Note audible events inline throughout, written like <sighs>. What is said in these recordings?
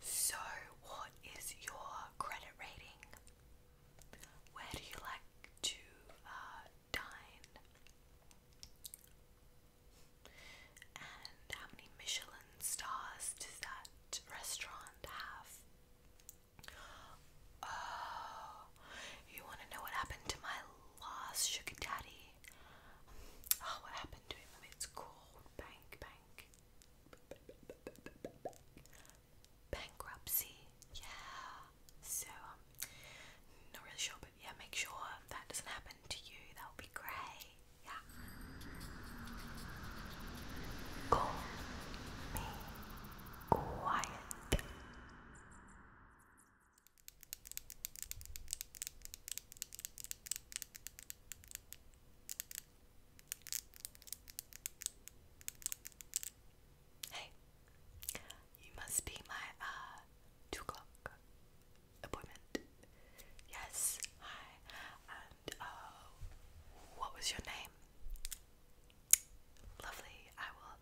So, what is your credit rating? Where do you like to uh, dine? And how many Michelin stars does that restaurant have? Oh, you want to know what happened to my last sugar daddy? Oh, what happened to him? It's cool bank, bank, bankruptcy. Yeah. So um, not really sure, but yeah, make sure that doesn't happen to you. That would be great. Yeah. Call me quiet. Hey, you must be my uh two o'clock appointment. Yes, hi. And uh what was your name? Lovely. I will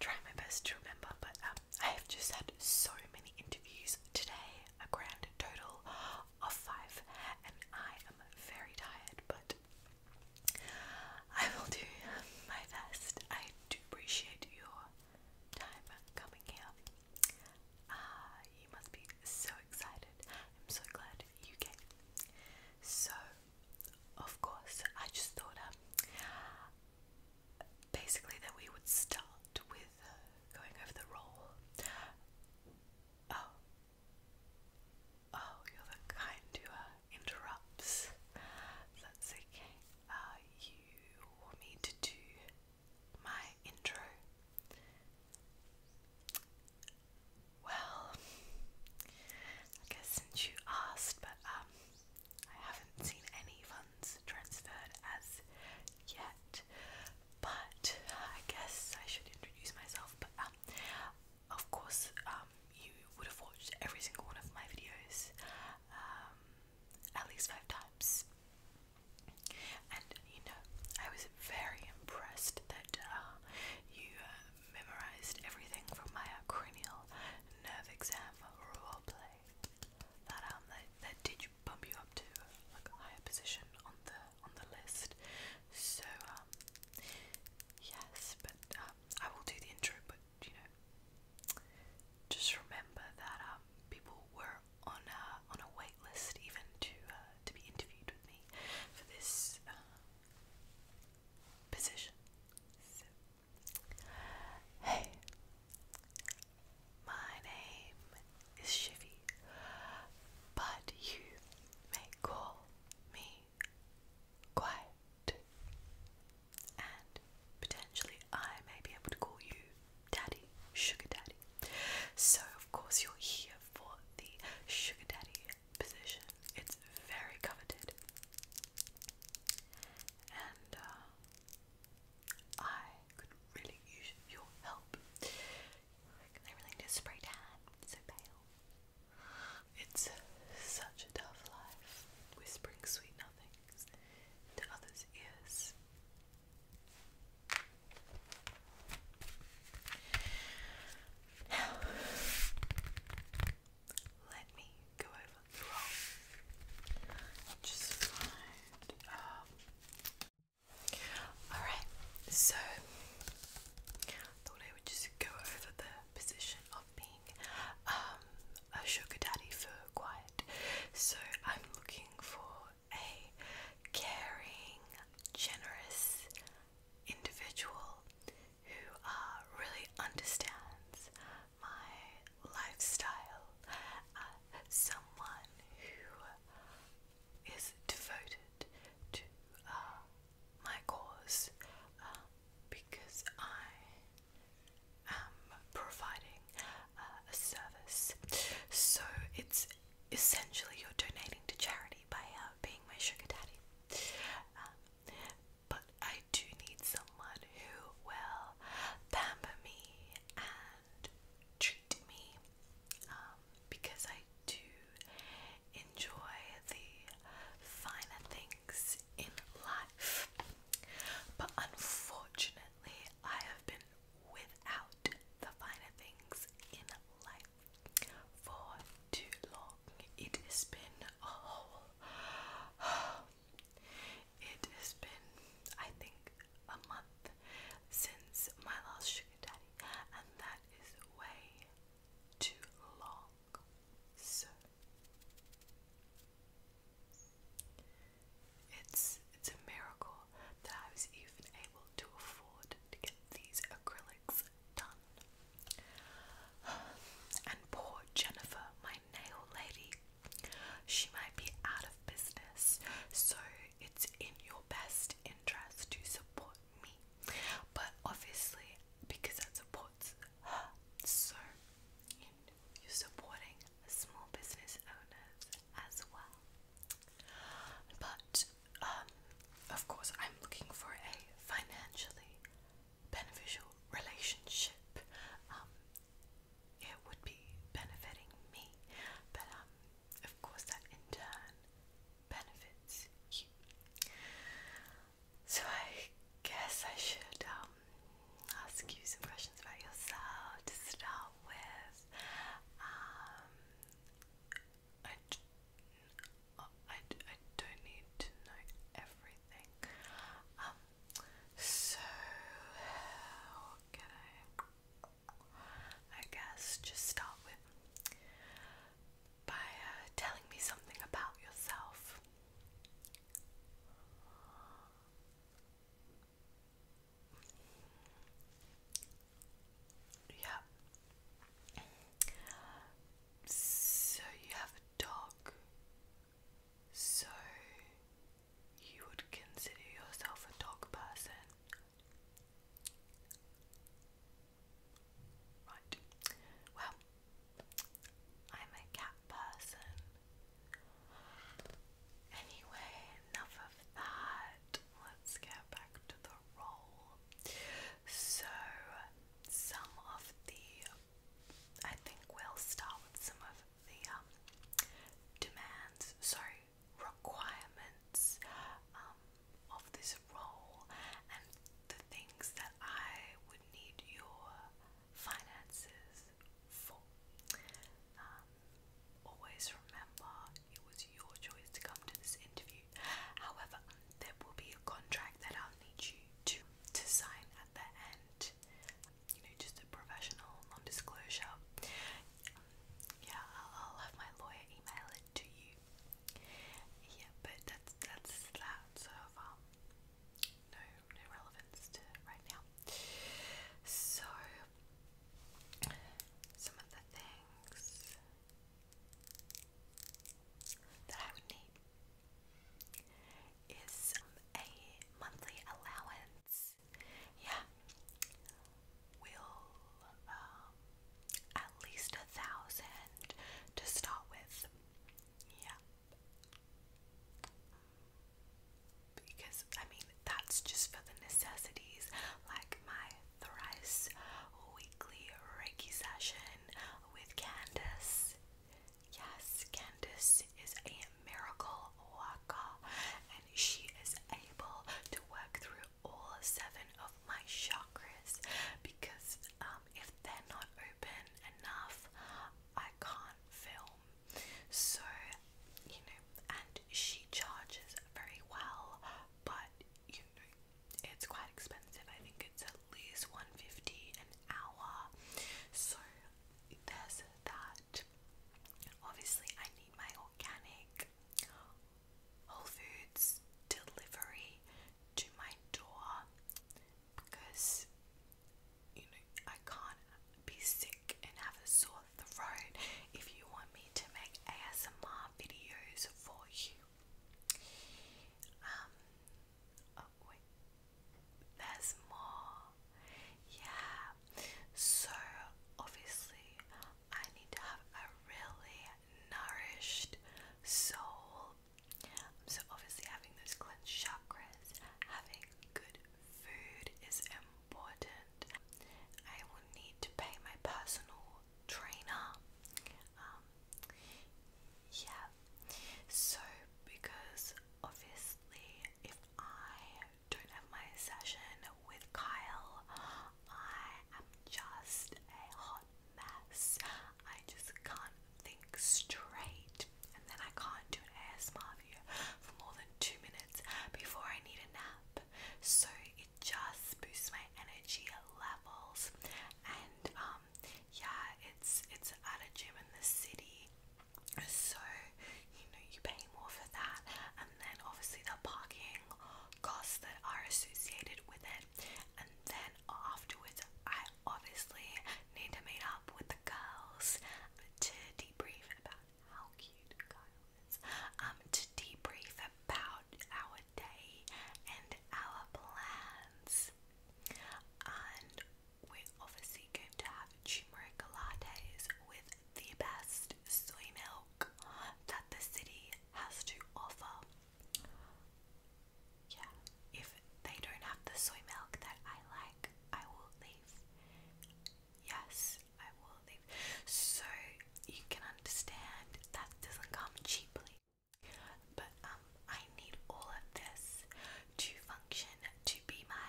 try my best to remember, but um I have just had so many interviews today a grand total of five, and I am very tired, but I will do my best. I do appreciate your time coming here. Uh, you must be so excited. I'm so glad you came. So, of course, I just thought um, basically that we would start with uh, going over the role. Oh. Oh, you're the kind who uh, interrupts. That's okay. Uh, you want me to do my intro? Well, I guess since you asked, but um, I haven't seen any for transferred as yet. But I guess I should introduce myself. But um, of course, um, you would have watched every single one of my videos um, at least five times. And you know, I was very impressed that uh, you uh, memorized everything from my cranial nerve exam role play. That um, that, that did which bump you up to like a higher position on the on the list. So um, yes, but um, I will do the intro but you know just remember that um, people were on a on a wait even to uh, to be interviewed with me for this uh, position. hey my name is Shivy, but you may call me Quiet, and potentially I may be able to call you Daddy, Sugar Daddy. So, of course, you're here for the Sugar Daddy position, it's very coveted. And, uh, I could really use your help. I really need spray tan. It's so pale. It's such a tough life, whispering sweet nothings to others' ears. Now, let me go over the roll. just find um, Alright, so I thought I would just go over the position of being um, a sugar daddy for quiet. So I'm looking for a caring, generous individual who uh, really understands my lifestyle, uh, someone who is devoted to uh, my cause uh, because I am providing a service. So it's essentially you're donating to charity by being my sugar daddy. Um, but I do need someone who will pamper me and treat me um, because I do enjoy the finer things in life. But unfortunately, I have been without the finer things in life for too long. It has been a whole it has been, I think, a month since my last sugar daddy, and that is way too long. So it's it's a miracle that I was even able to afford to get these acrylics done. <sighs> And poor Jennifer, my nail lady, she might be out of business, so it's in your best interest to support me. But obviously, because that supports her, so you know, you're supporting small business owners as well. But um, of course, I'm looking for a financially beneficial relationship. Um, it would be benefiting me, but um, of course, that in turn benefits you. So, I guess I should um, ask you some questions about yourself to start with. Um, I, d I, d I don't need to know everything. Um, so, what I? guess just start with by uh, telling me something about yourself. Yeah. So you have a dog. So, you would consider yourself a dog person? Right. Well, I'm a cat person. Anyway, enough of that. Let's get back to the role. So, some of the. I think we'll start with some of the um, demands, sorry, requirements um, of this role and the things that I would need your finances for. Um, always remember it was your choice to come to this interview. However, there will be a contract that I'll need you to to sign at the end you know, just a professional non-disclosure. Um, yeah, I'll, I'll have my lawyer email it to you. Yeah, but that's that's that sort of um, no no relevance to right now. So some of the things that I would need is um, a monthly allowance yeah, will um, at least a thousand to start with. Yeah, because I mean that's just for the necessities, like my thrice weekly Reiki session with Candace. Yes, Candice is a miracle worker and she is able to work through all seven of my chakras because um, if they're not open enough, I can't film. So, you know, and she charges very well, but you know, it's quite expensive. I think it's at least 150 an hour. So, there's that. Obviously, I need my organic Whole Foods delivery to my door because you know I can't be sick and have a sore throat if you want me to make ASMR videos for you. Um, oh, wait, there's more. Yeah. So obviously I need to have a really nourished soul. So obviously having those cleansed chakras, having good food is important. I will need to pay my personal trainer. Um, yeah. So because obviously if I don't have my session with Kyle. I am just a hot mess. I just can't think straight. And then I can't do an ASMR video for more than two minutes before I need a nap. So it just boosts my energy levels. And um yeah, it's it's at a gym in the city so, you know, you pay more for that, and then obviously the parking costs that are associated with it. And then afterwards, I obviously need to meet up with the girls to debrief about how cute Kyle is, um, to debrief about our day and our plans. And we obviously going to have turmeric lattes with the best soy milk that the city has to offer. Yeah, if they don't have the soy milk that I like, I will leave. Yes, I will leave. So you can understand that doesn't come cheaply. But um I need all of this to function to be my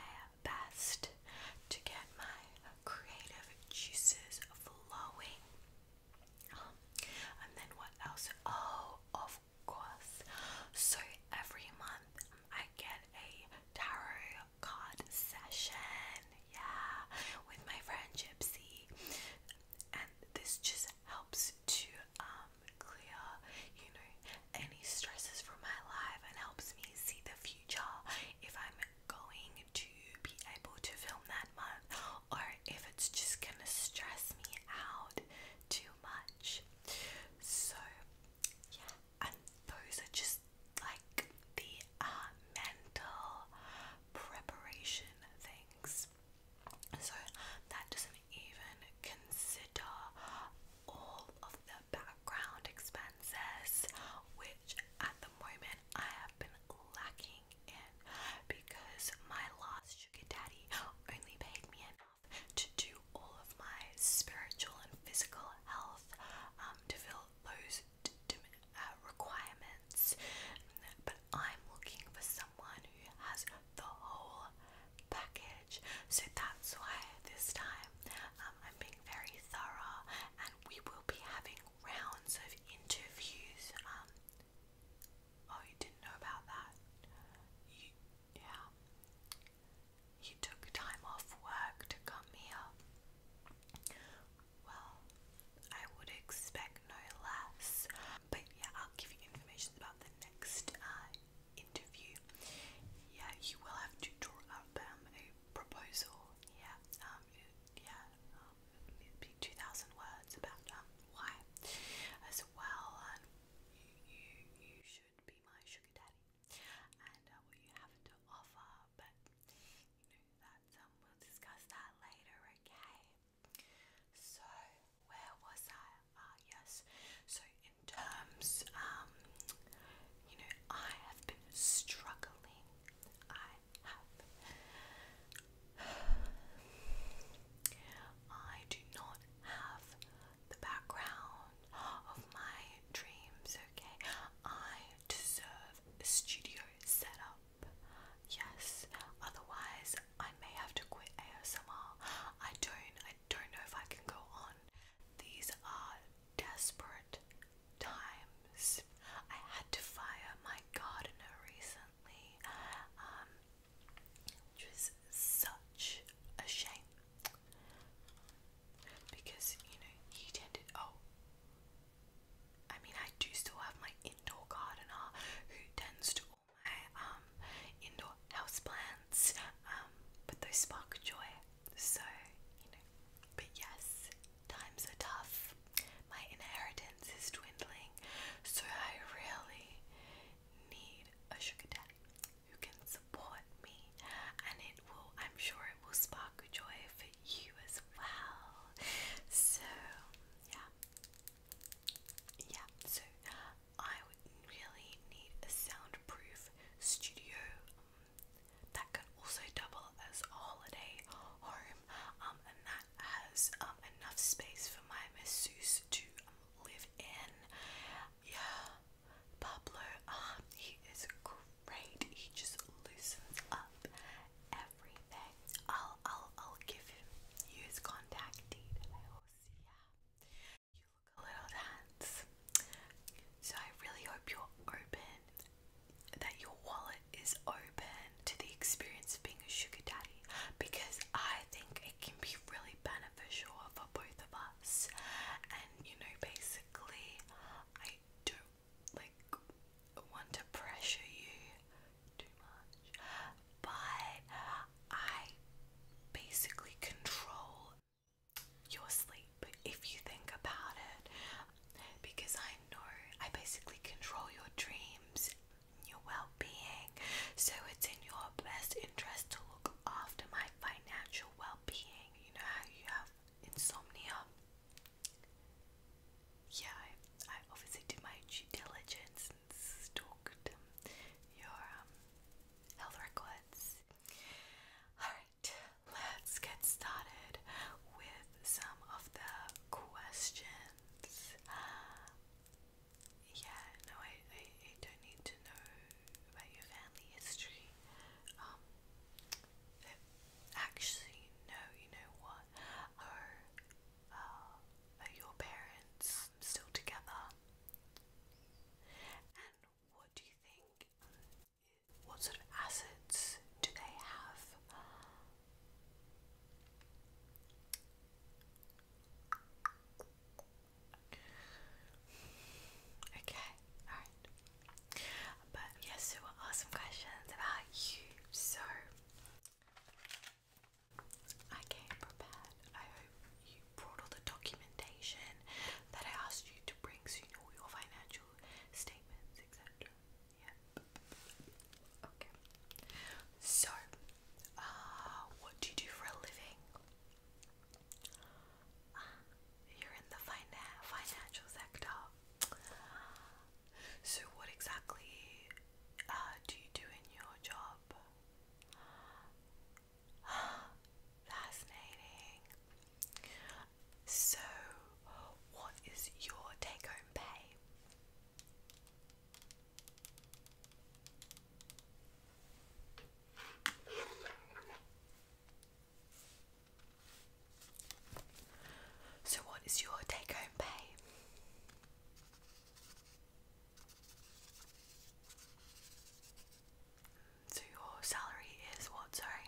best to get my creative juices flowing. Um, and then what else? Oh, of course. So every month I get a tarot card session, yeah, with my friend Gypsy, and this just helps to um clear, you know, any stresses from my life and helps me see the future if I'm going to be able to film that month or if it's just gonna stress me out too much. So, yeah, and those are just like the uh, mental preparation things. So, that doesn't even consider all of the background expenses, which at the moment I have been lacking in because my last sugar daddy only paid me enough to do all of my spiritual and physical health um, to fill those uh, requirements. But I'm looking for someone who has the whole package. So that's why this time um, I'm being very thorough and we will be having rounds of interviews. Um, oh, you didn't know about that? yeah. You took time off work to come here. Well, I would expect no less. But yeah, I'll give you information about the next uh, interview, yeah, you will have to draw up um, a proposal, yeah, um, it, yeah, um, it'd be 2,000 words about um, why as well, and you, you, you should be my sugar daddy, and uh, what you have to offer, but, you know, that's, um, we'll discuss that later, okay? So, where was I? Ah, yes. So, in terms, um, you know, I have been struggling. I have. I do not have the background of my dreams, okay? I deserve a studio setup. Yes, otherwise I may have to quit ASMR. I don't I don't know if I can go on these are desperate times. I had to fire my gardener recently, um, which was such a shame because you know he tended. Oh, I mean, I do still have my indoor gardener who tends to all my um, um, indoor houseplants um, but those spark joy. So, you know, but yes, times are tough. My inheritance is dwindling, so I really need a sugar daddy who can support me, and it will, I'm sure, it will spark joy for you as well. So, yeah, yeah, so I really need a soundproof studio um, that can also double as a holiday home um, and that has um, enough space for my masseuse to um, live in. Yeah, Pablo, um, he is great. He just loosens up everything. I'll, I'll, I'll give him you his contact see ya. You look a little tense. So I really hope you're open, that your wallet is open to the experience of being a sugar daddy because I think it can be really beneficial for both of us. And you know, basically, I don't like want to pressure you too much, but I basically control your sleep if you think about it because I know I basically control your dreams, and your well-being. So it's in your best interest to look after my financial well-being. You know how you have insomnia. Yeah, I, I obviously did my due diligence and stalked your um, health records Alright, let's get started with some of the questions. Yeah, no, I, I, don't need to know about your family history. Um, actually, no, you know what? Are, uh, your parents still together? what do you think? What sort of assets do they have? Okay, alright. But yes, there were some questions about you, so I came prepared. I hope you brought all the documentation that I asked you to bring, so your financial statements, etc. Yeah. Okay. So, uh, what do you do for a living? Ah, you're in the fina financial sector. So, what exactly uh, do you do in your job? <gasps> Fascinating. So, what is your take home pay? So, what is your take home pay? So your salary is what, sorry?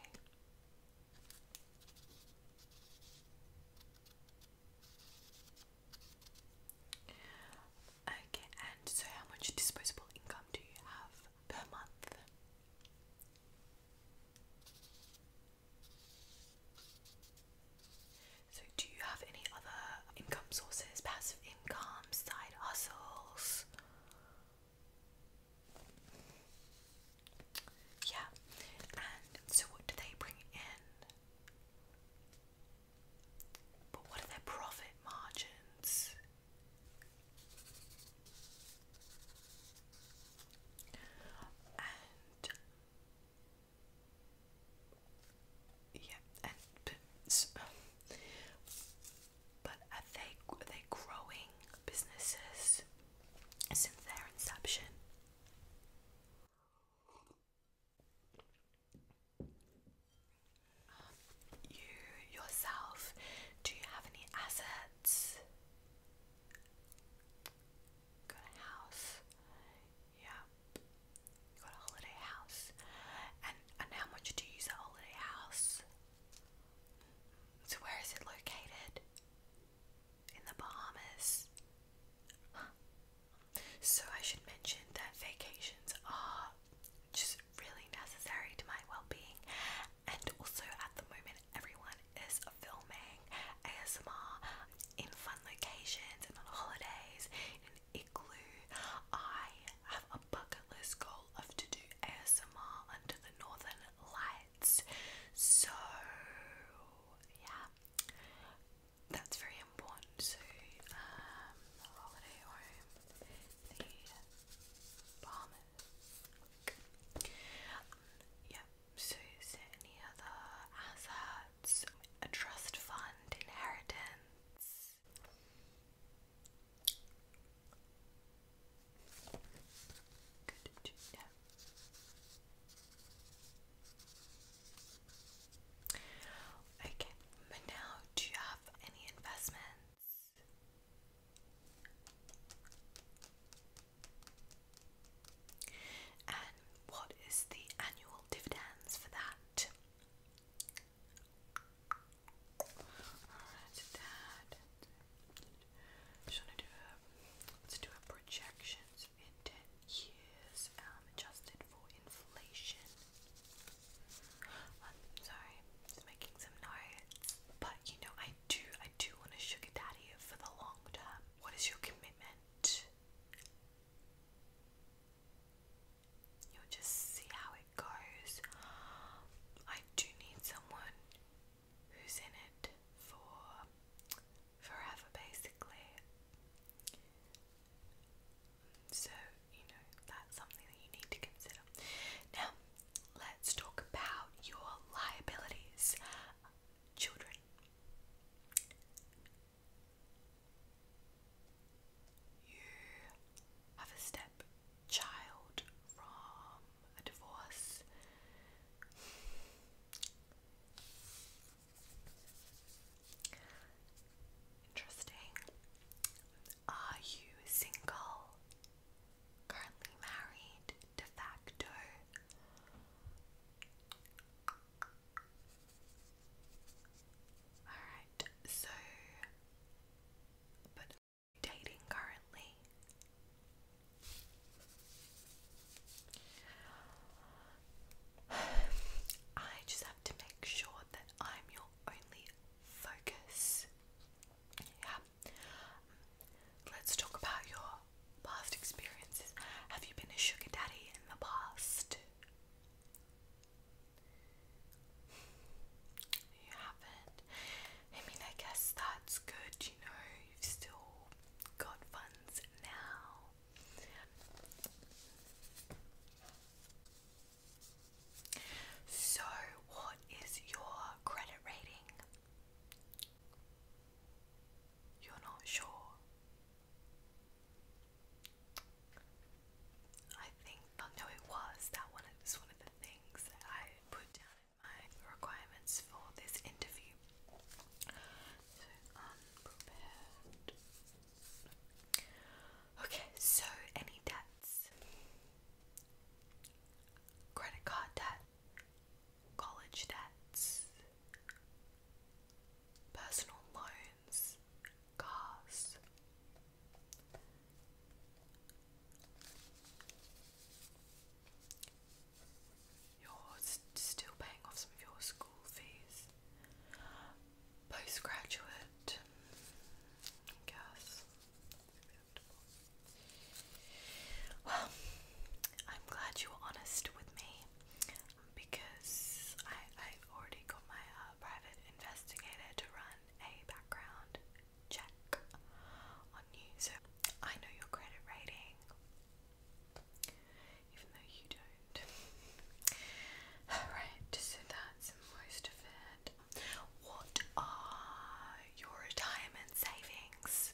Okay, and so how much disposable income do you have per month? So, do you have any other uh, income sources, passive income, side hustles. Yeah, and so what do they bring in? But what are their profit margins? yeah, and uh, but, are they are they growing businesses since their inception? you yourself, do you have any assets? Got a house. Yep got a holiday house. And and how much do you use a holiday house? So where is it located? In the Bahamas. So I should mention that vacations are just really necessary to my well-being and also at the moment everyone is filming ASMR in fun locations and on holidays igloo. I have a bucket list goal of to do ASMR under the northern lights. So yeah. That's very important to um holiday home. The Bahamas. Yeah, so any other assets, a trust fund, inheritance, this. Okay, but now do you have any investments? And what is the annual dividends for that? Alright, that. Just wanna do a let's do a projections in ten years, um, adjusted for inflation. I'm um, sorry, just making some notes. But you know, I do I do want a sugar daddy for the long term. What is your commitment? You'll just see how it goes. I do need someone who's in it for forever, basically. So, you know, that's something that you need to consider. Now, let's talk about your liabilities. Children you have a stepchild from a divorce. Interesting. Are you single? Currently married? De facto? Alright, so but dating currently. I just have to make sure that I'm your only focus. Yeah. Let's talk about your past experiences. Have you been a sugar daddy in the past? You haven't. I mean, I guess that's good, you know, you've still got funds now. So, what is your credit rating? You're not sure. I think, oh no, it was that one. It was one of the things that I put down in my requirements for this interview. So unprepared. Okay, so any debts? Credit card debt, college debts, personal loans. Dickens You're still paying off some of your school fees. Postgraduate, I Well, I'm glad you were honest with me because I I already got my uh, private investigator to run a background check on you, so I know your credit rating, even though you don't. Alright, so that's most of it. What are your retirement savings?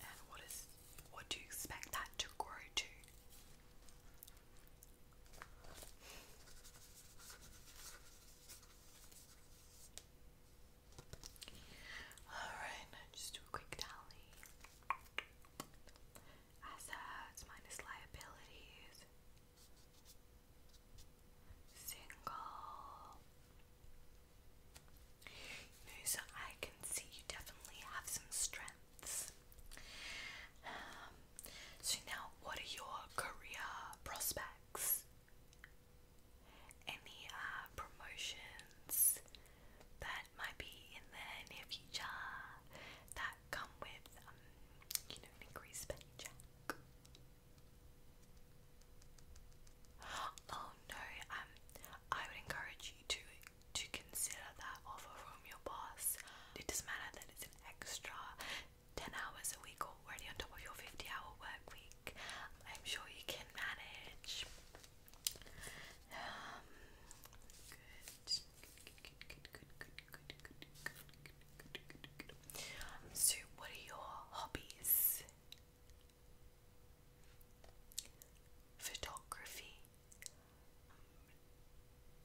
And what is what do you expect that to grow to? Alright, just do a quick tally. Assets minus liabilities. Single you so I can see you definitely have some strengths. Um, so now, what are your career prospects? Any uh, promotions that might be in the near future that come with, um, you know, an increased paycheck? Oh no, um, I would encourage you to to consider that offer from your boss. It doesn't matter that it's an extra 10 hours a week already on top of your 50 hour work week. I'm sure you can manage. good. So, what are your hobbies? Photography. Um,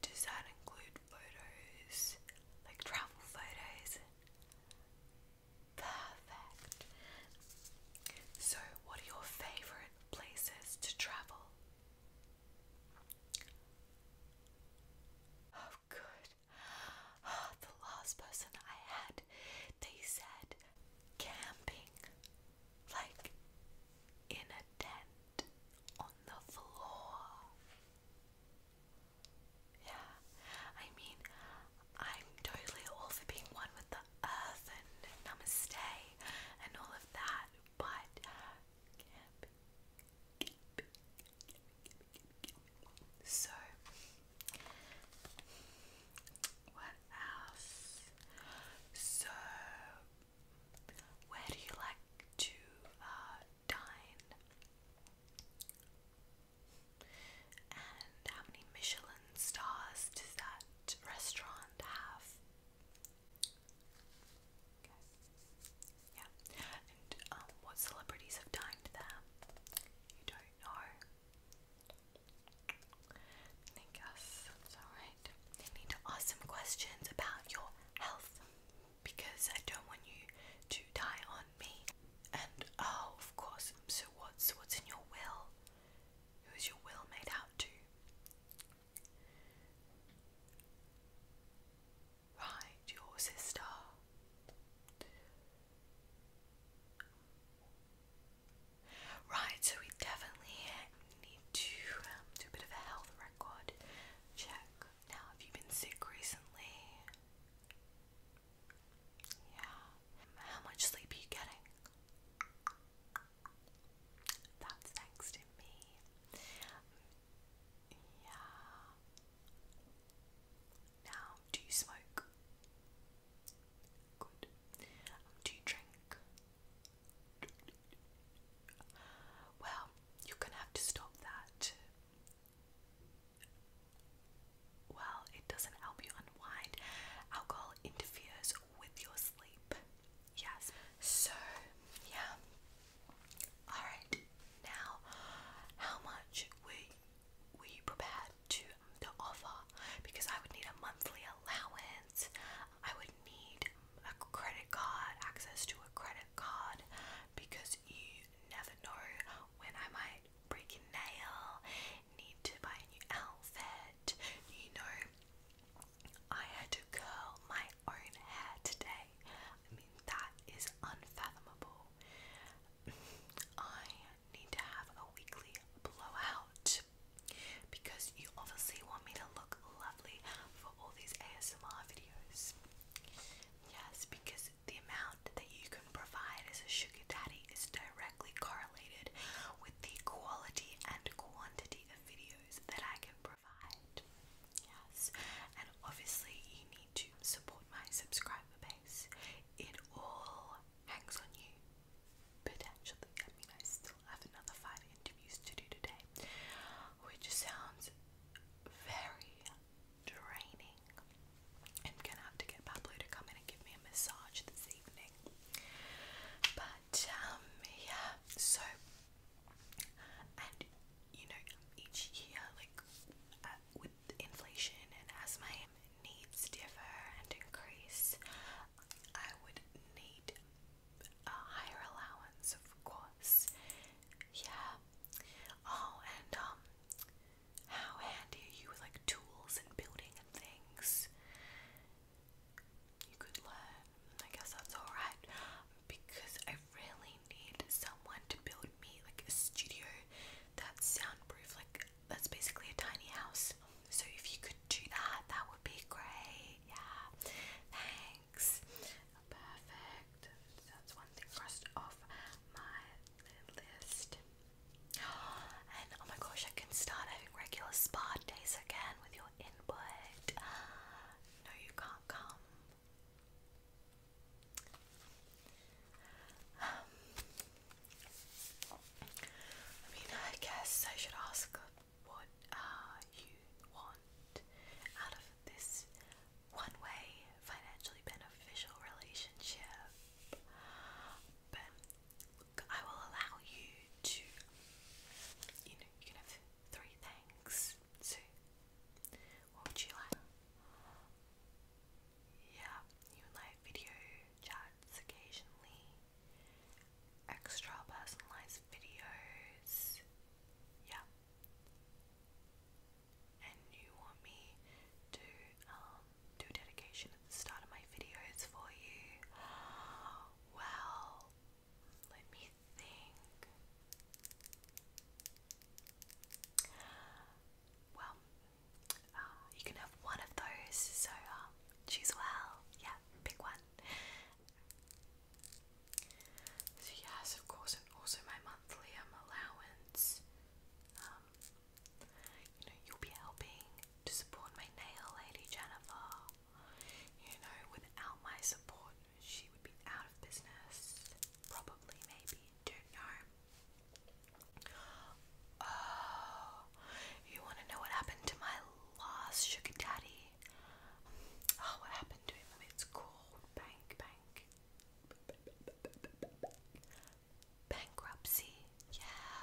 does that include photos, like travel photos? Perfect. So, what are your favourite places to travel? Oh, good. <gasps> the last person I had, they said camping, like in a tent on the floor. Yeah, I mean, I'm totally all for being one with the earth and namaste and all of that, but camping. So, what else? So, where do you like to uh, dine? And how many Michelin stars does that restaurant have? Okay. Yeah. And um, what celebrities have dined there? You don't know. I need to ask some questions about your health because I don't want you to die on me. And oh, of course. So what's what's in your will? Who is your will made out to? Right, your sister. Right, so we definitely need to um, do a bit of a health record check. Now, have you been sick recently? Yeah. How much sleep are you getting? That's thanks to me. Yeah. Now, do you smoke? do you drink? Well, you're gonna have to stop that. Well, it doesn't help you unwind. Alcohol interferes with your sleep. Yes. So, yeah. Alright, now, how much were you, prepared to the offer because I would need a monthly allowance. I would need a credit card, access to a credit card, because you never know when I might break a nail, need to buy a new outfit. You know, I had to curl my own hair today. I mean, that is unfathomable. <laughs> I need to have a weekly blowout because you obviously want me to look lovely for all these ASMR videos. Yes, because the amount that you can provide as a sugar daddy is directly correlated with the quality and quantity of videos that I can provide. Yes, and obviously you need to support my subscriber base. It all hangs on you. Potentially, I mean, I still have another five interviews to do today, which sounds very draining. I'm gonna have to get Pablo to come in and give me a massage this evening. But, um, yeah, so, and you know, each year, like, uh, inflation and as my needs differ and increase, I would need a higher allowance, of course. Yeah. Oh, and um, how handy are you with like tools and building and things? You could learn. I guess that's alright. Because I really need someone to build me like a studio that's soundproof. Like that's basically a tiny house. So if you could do that, that would be great. Yeah. Thanks. Perfect. That's one thing crossed off my list. <gasps> And oh my gosh, I can start having regular spa days again with your input. <gasps> No, you can't come. <sighs> Um, I mean, I guess I should ask what uh, you want out of this one way financially beneficial relationship. But look, I will allow you to, you know, you can have three things. So, what would you like? yeah, you like video chats occasionally, extra personalized videos, yeah. And you want me to um, do dedication at the start of my videos for you? <gasps> Well, let me think. Well, uh, you can have one of those, so um, choose well. Yeah, pick one. So, yes, of course, and also my monthly um, allowance. Um, you know, you'll be helping to support my nail lady, Jennifer. You know, without my support, she would be out of business. Probably, maybe, don't know. Oh, you want to know what happened to my last sugar daddy? Oh, what happened to him? It's called bank, bank, bankruptcy. Yeah.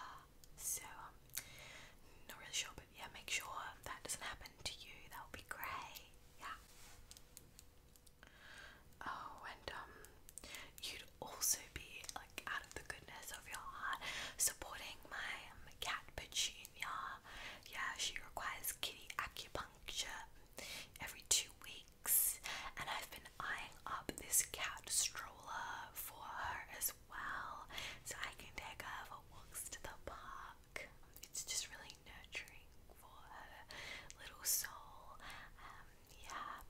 So, um, not really sure, but yeah, make sure that doesn't happen to you. That would be great. Yeah. Oh, and um, you'd also be like out of the goodness of your heart supporting my um, cat Petunia. Yeah, she requires kitty acupuncture every two weeks, and I've been eyeing up this cat stroller for her as well, so I can take her for walks to the park. It's just really nurturing for her little soul. Um, yeah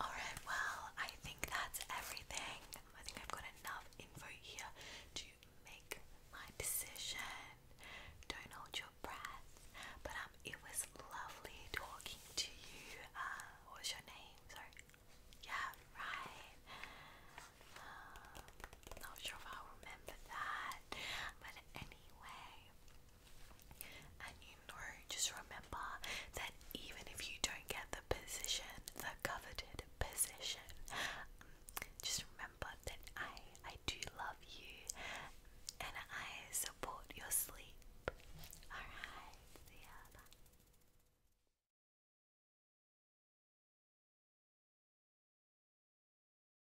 alright, well, I think that's everything. I think I've got enough info here to make my decision. Don't hold your breath. But um, it was lovely talking to you. Uh, what was your name? Sorry. Yeah, right. Um, not sure if i remember that. But, and anyway. And you know, just remember that even if you don't get the position, the coveted position, um, just remember that I, I do love you and I support your sleep. Alright, see ya.